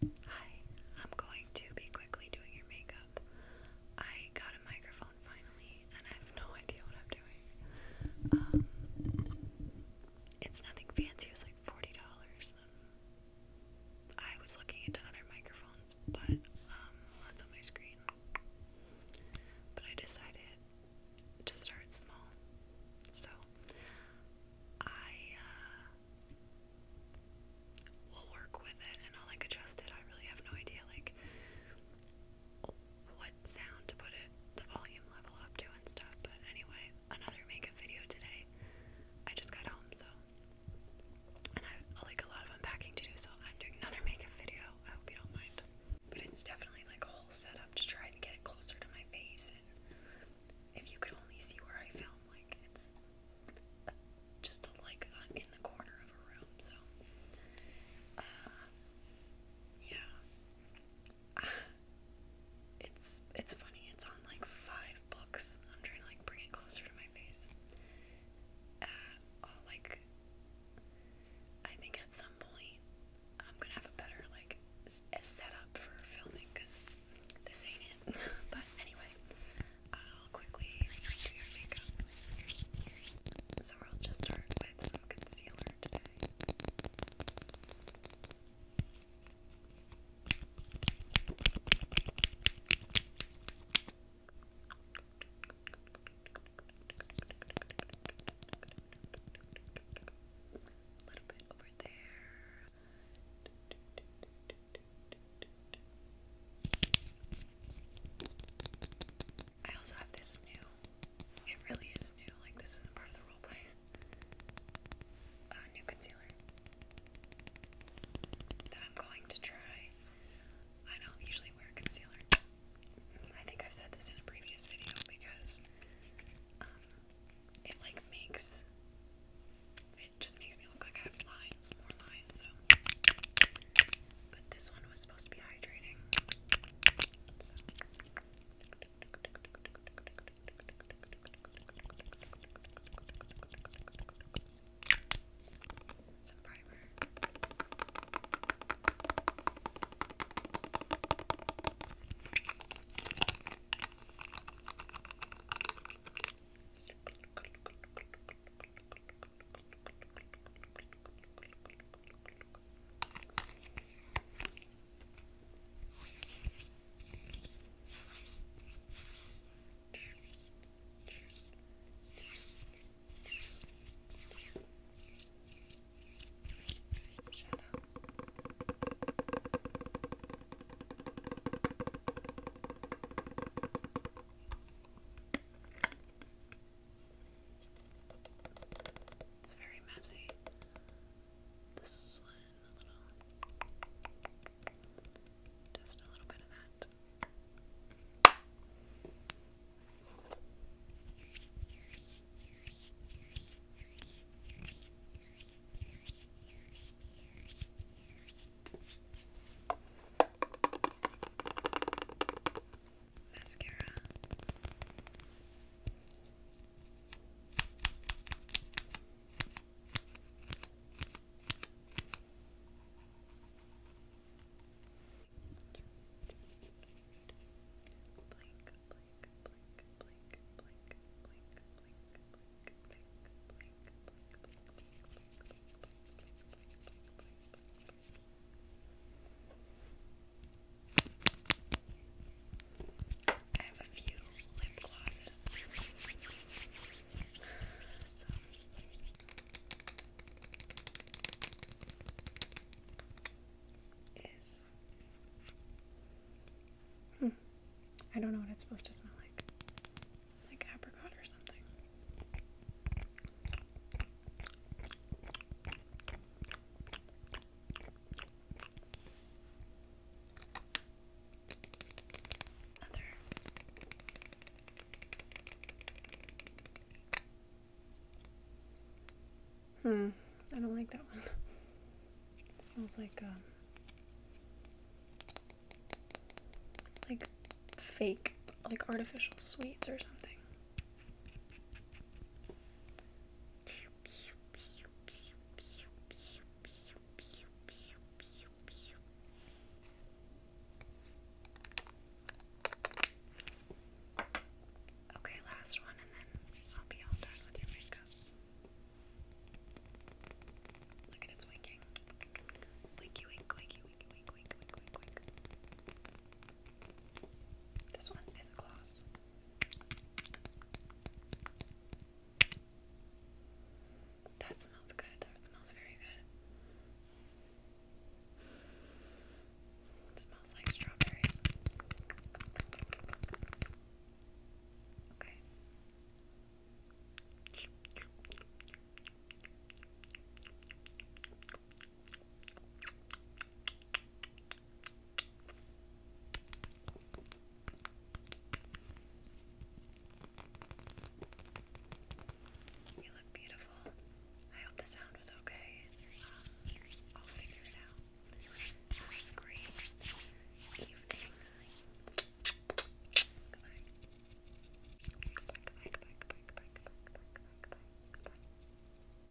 Hi, I'm going to be quickly doing your makeup. I got a microphone finally, and I have no idea what I'm doing. Um, it's nothing fancy, it was like $40. I was looking into other microphones, but um, one's on my screen. But I decided to start small. So I uh, will work with it and I'll like adjust it. I really have no idea like what sound to put it, the volume level up to and stuff. But anyway, another makeup video today. I just got home, so and I like a lot of unpacking to do, so I'm doing another makeup video. I hope you don't mind. But it's definitely like a whole up to try and get it closer to my face if you could only see where I film, like it's just like in the corner of a room. So, uh, yeah, it's it's funny. It's on like five books. I'm trying to like bring it closer to my face. Uh, all like I think at some point I'm gonna have a better like a setup for filming because this ain't it. but anyway, I'll quickly do your makeup. So I'll just start with some concealer today. A little bit over there. I also have this new. It really is new. Like this isn't part of the role A uh, new concealer that I'm going to try. I don't usually wear concealer. I think I've said this in a previous video because um, it like makes it just makes me look like I have lines, more lines. So, but this one was supposed to be hydrating some primer. Shut up. It's very messy. This one a little just a little bit of that. Mascara. I have a few lip glosses. Is. Hmm. I don't know what it's supposed to smell like. Like apricot or something. Hmm, I don't like that one. smells like um like fake, like artificial sweets or something. Okay, last one, and then I'll be all done with your makeup. Look at it's winking. Winky, wink, winky, wink, wink, wink, wink, wink. This one is a gloss. That smells good. That smells very good. smells like strawberries. Okay. You look beautiful. I hope the sound was okay. Uh, I'll figure it out. Have a great Goodbye. Goodbye, goodbye, goodbye, goodbye, goodbye, goodbye, goodbye, goodbye, goodbye.